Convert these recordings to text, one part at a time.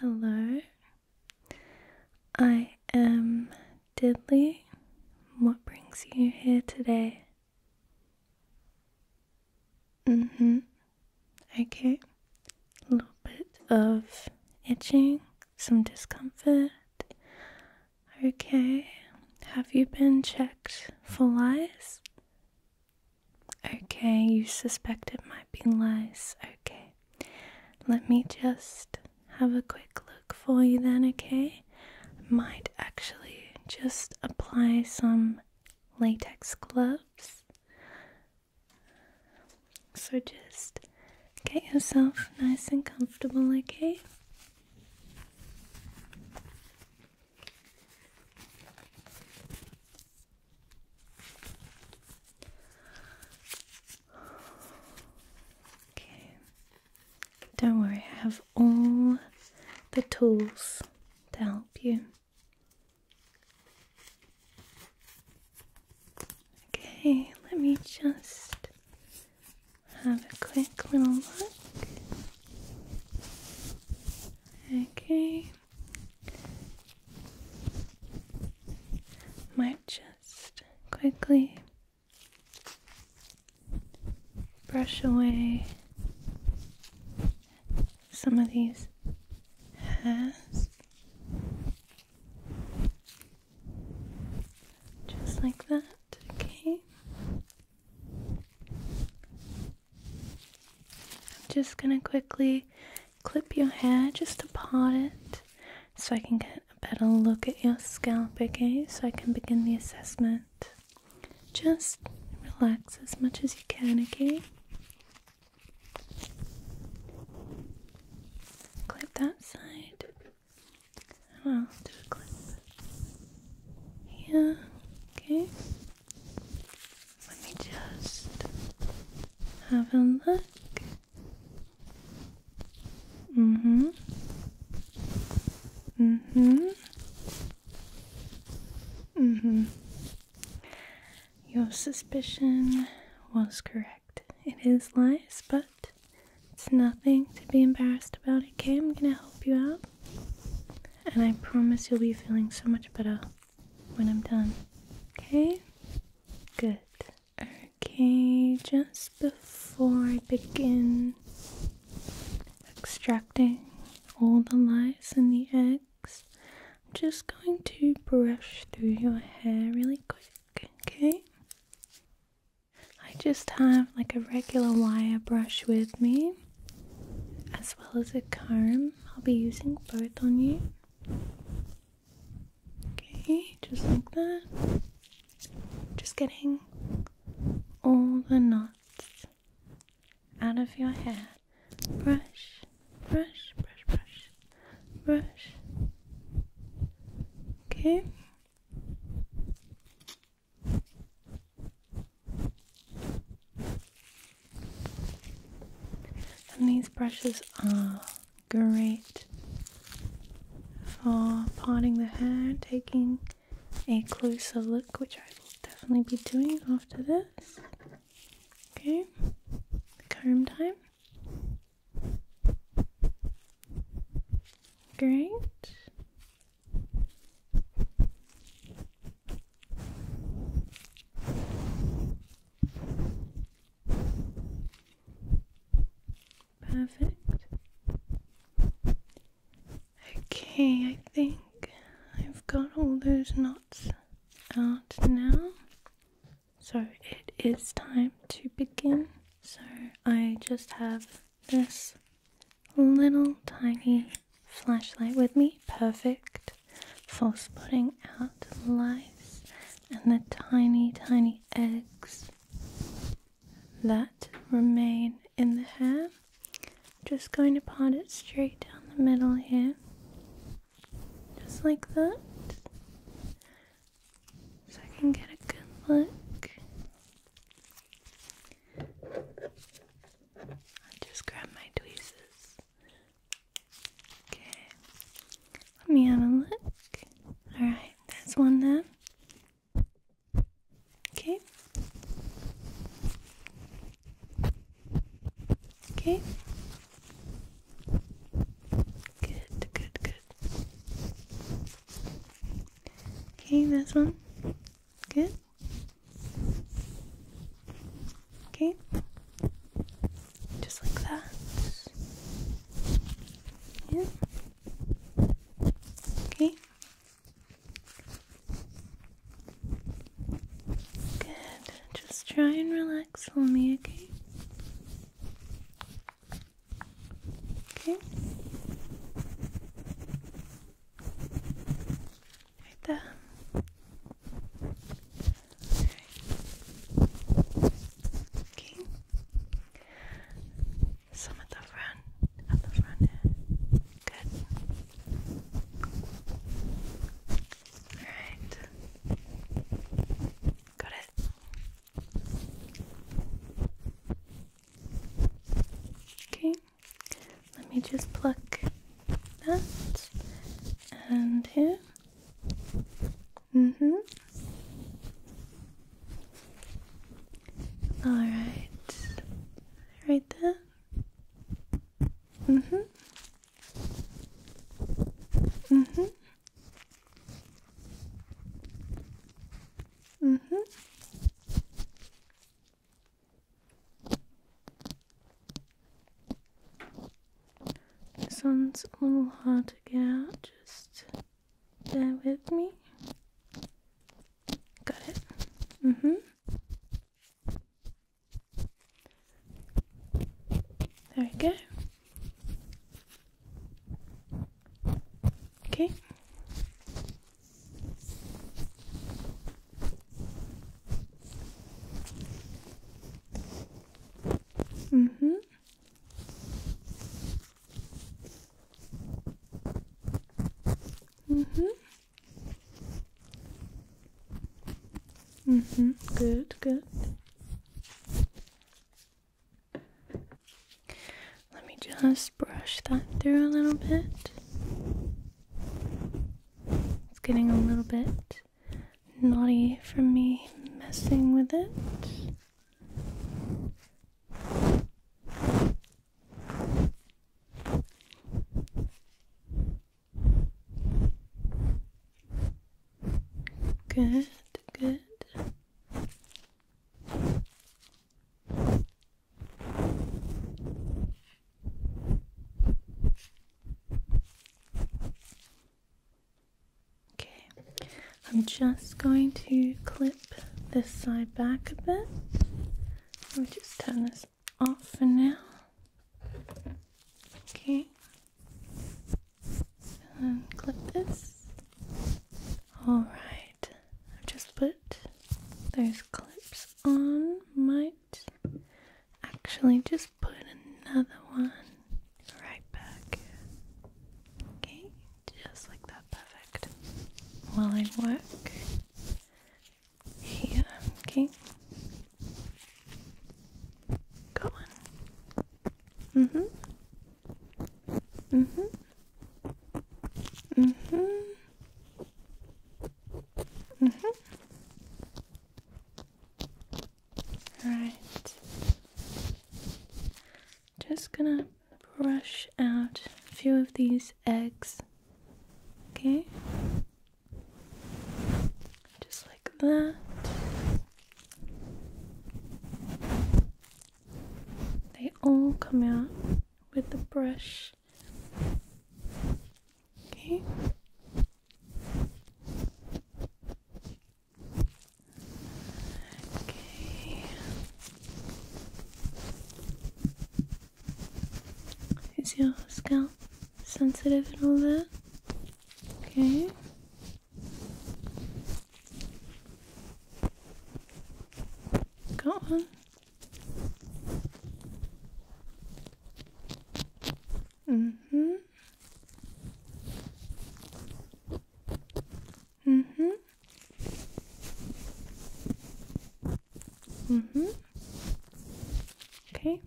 Hello, I am Diddley. What brings you here today? Mm hmm. Okay. A little bit of itching, some discomfort. Okay. Have you been checked for lice? Okay, you suspect it might be lice. Okay. Let me just have a quick look for you then, okay? Might actually just apply some latex gloves. So just get yourself nice and comfortable, okay? Okay. Don't worry, I have all the tools to help you. Okay, let me just have a quick little look. Okay might just quickly brush away some of these hairs just like that, okay? I'm just gonna quickly clip your hair just to part it so I can get a better look at your scalp, okay? So I can begin the assessment. Just relax as much as you can, okay? Clip that side. And I'll do a clip here, okay? Let me just have a look. hmm. hmm. hmm. Your suspicion was correct. It is lies, but it's nothing to be embarrassed about. Okay, I'm gonna help you out. And I promise you'll be feeling so much better when I'm done. Okay? Good. Okay, just before I begin extracting all the lice and the eggs, I'm just going to brush through your hair really quick, okay? I just have like a regular wire brush with me as well as a comb. I'll be using both on you. Okay, just like that. Just getting all the knots out of your hair. Brush, brush, brush, brush, brush. Okay. And these brushes are great for parting the hair, taking a closer look, which I will definitely be doing after this. Okay, comb time. Great. Perfect. Okay, I think I've got all those knots out now. So it is time to begin. So I just have this little tiny flashlight with me. Perfect for spotting out lice and the tiny, tiny eggs that remain in the hair. Just going to part it straight down the middle here, just like that, so I can get a good look. I'll just grab my tweezers Okay. Let me have a look. Alright, that's one then. Okay. Okay. Good, good, good. Okay, that's one. Good. Okay? Just like that. Yeah. Okay. Good. Just try and relax for me, okay? Okay. Right there. Right. Okay. Some at the front, at the front Good. Alright. Got it. Okay. Let me just pluck that and here. Mm-hmm. Alright. Right there. Mm-hmm. Mm-hmm. hmm this one's a little hard to get just there with me. Got it. Mm hmm. There we go. Okay. Mm-hmm. Mm-hmm. Mm-hmm. Good, good. Let me just brush that through a little bit. It's getting a little bit naughty for me messing with it. Good, good. Okay, I'm just going to clip this side back a bit. Let me just turn this off for now. Okay, and clip this. Alright, I've just put those clips on. Might actually just put another one right back. Okay, just like that, perfect. While I work here, okay. Go on. Mm hmm. Mm hmm. Mm hmm. Mm hmm. Alright. Just gonna brush out a few of these eggs. Okay? Just like that. They all come out with the brush Okay. Okay. Is your scalp sensitive and all that? Okay. Got one. Mm-hmm. Mm-hmm. Mm-hmm. Okay.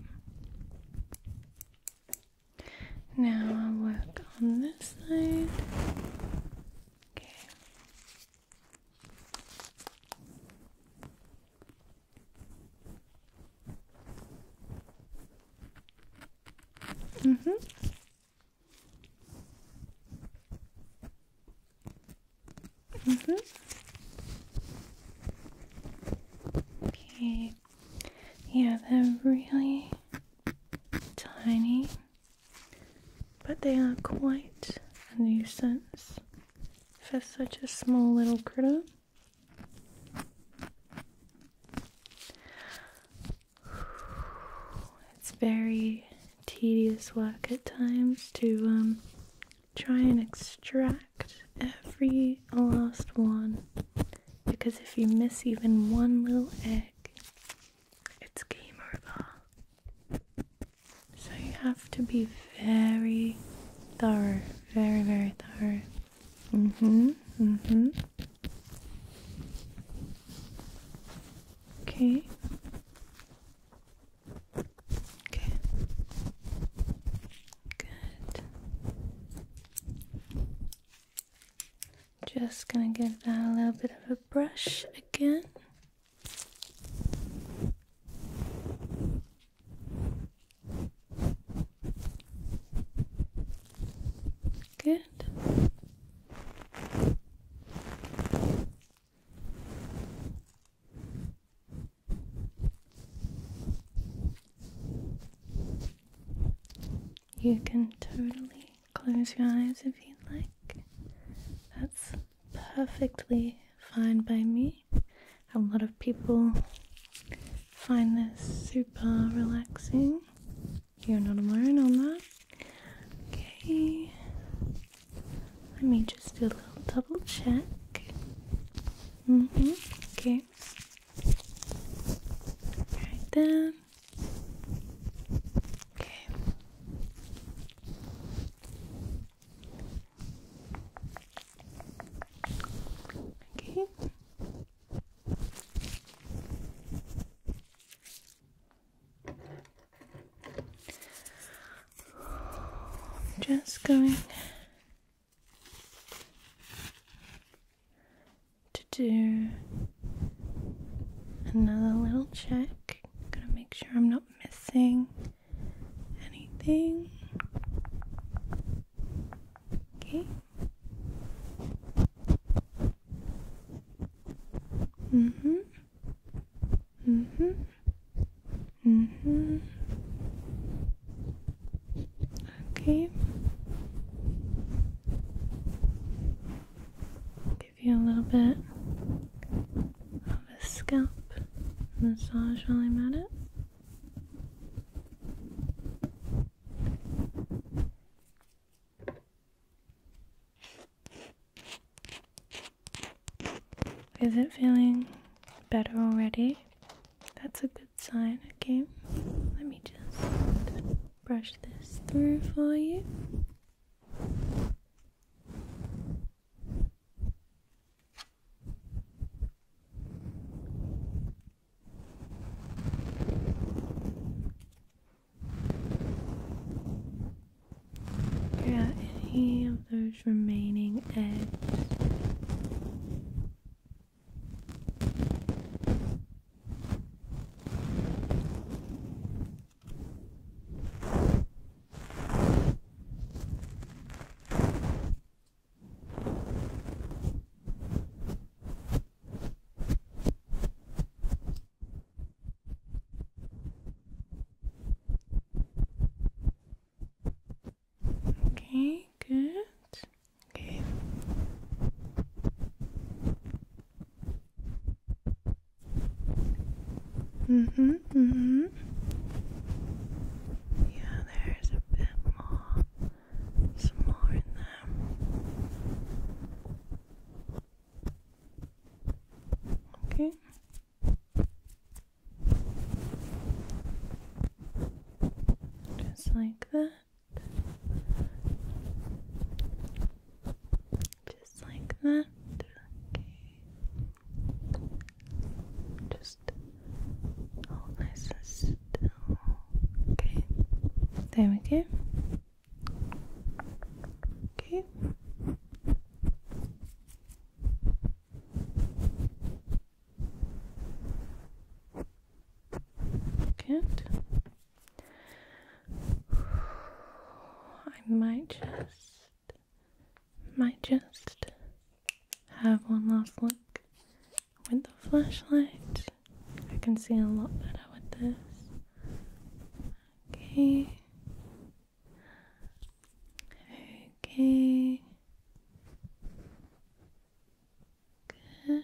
Now i work on this side. Okay. Mm-hmm. Mm-hmm. Okay. Yeah, they're really tiny, but they are quite a nuisance for such a small little critter. It's very tedious work at times to um, try and extract every last one because if you miss even one little egg, it's game over. So you have to be very thorough very, very thorough. Mm-hmm. Mm-hmm. Okay. Okay. Good. Just gonna give that a little bit of a brush again. Good. You can totally close your eyes if you'd like. That's perfectly fine by me. A lot of people find this super relaxing. You're not alone on that. Okay, let me just do a little double check. hmm. Okay. Right there. Okay. Okay. just going to do another little check. I'm gonna make sure I'm not missing anything. Okay. Mm-hmm. Mm-hmm. Mm-hmm. Okay. Give you a little bit of a scalp massage while I'm at it. Is it feeling better already? That's a good sign, okay? Let me just brush this through for you. Figure out any of those remaining eggs. Okay, good. Okay. Mm-hmm, mm-hmm. Yeah, there's a bit more. Some more in there. Okay. Just like that. Just like that. Okay. Just all nice and still. Okay, there we go. Okay. Good. I might just might just have one last look with the flashlight. I can see a lot better with this. Okay. Okay. Good.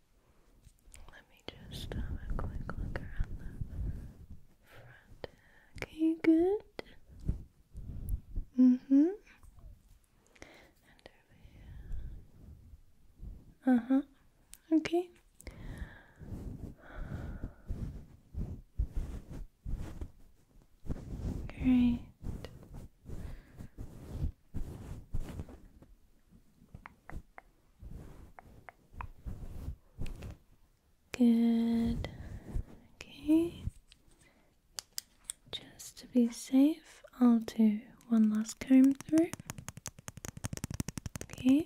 Let me just have a quick look around the front. Okay, good. Mm-hmm. Uh-huh. Okay. Great. Good. Okay. Just to be safe, I'll do one last comb through. Okay.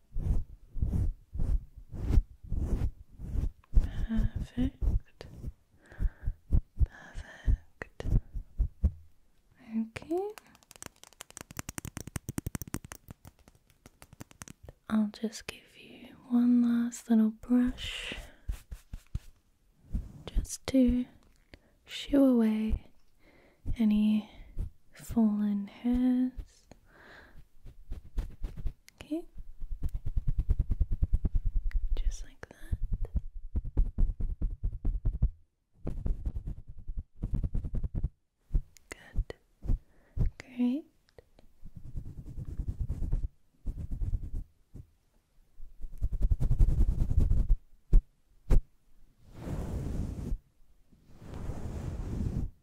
Perfect. Perfect. Okay. I'll just give you one last little brush just to shoo away any fallen hairs Okay, just like that. Good. Great.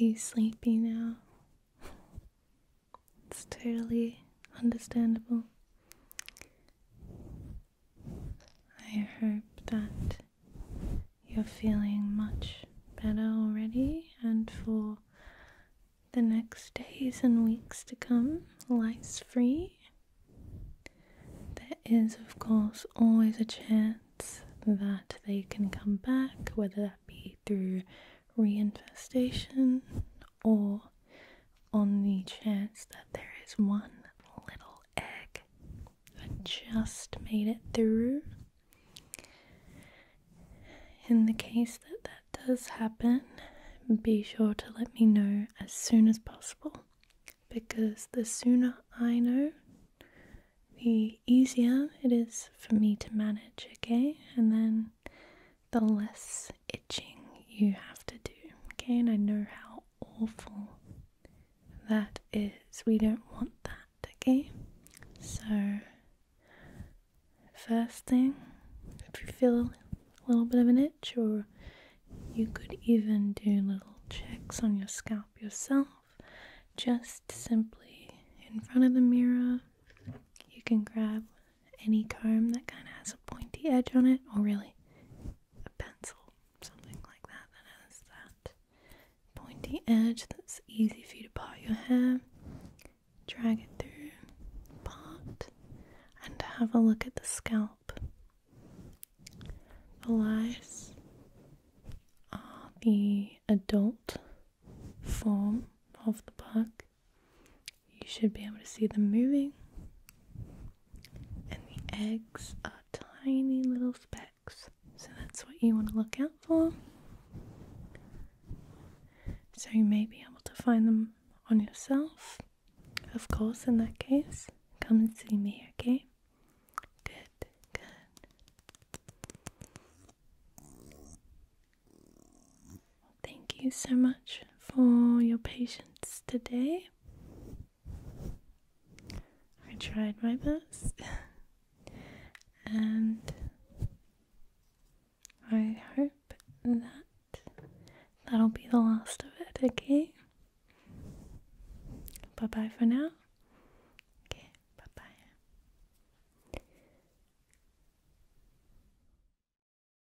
Are you sleepy now? It's totally understandable. I hope that you're feeling much better already, and for the next days and weeks to come, lice free. There is, of course, always a chance that they can come back, whether that be through reinfestation or on the chance that there is one little egg that just made it through. In the case that that does happen, be sure to let me know as soon as possible because the sooner I know, the easier it is for me to manage, okay? And then the less itching you have to do. Okay, and I know how awful that is. We don't want that, okay? So, first thing, if you feel a little bit of an itch, or you could even do little checks on your scalp yourself, just simply in front of the mirror, you can grab any comb that kind of has a pointy edge on it, or really a pencil, something like that that has that pointy edge that's easy for you to part your hair, drag it through, part, and have a look at the scalp. The lice are the adult form of the bug. You should be able to see them moving. And the eggs are tiny little specks. So that's what you want to look out for. So you may be able to find them on yourself. Of course, in that case, come and see me, okay? Good, good. Thank you so much for your patience today. I tried my best, and I hope that that'll be the last of it, okay? Bye bye for now. Okay, bye bye.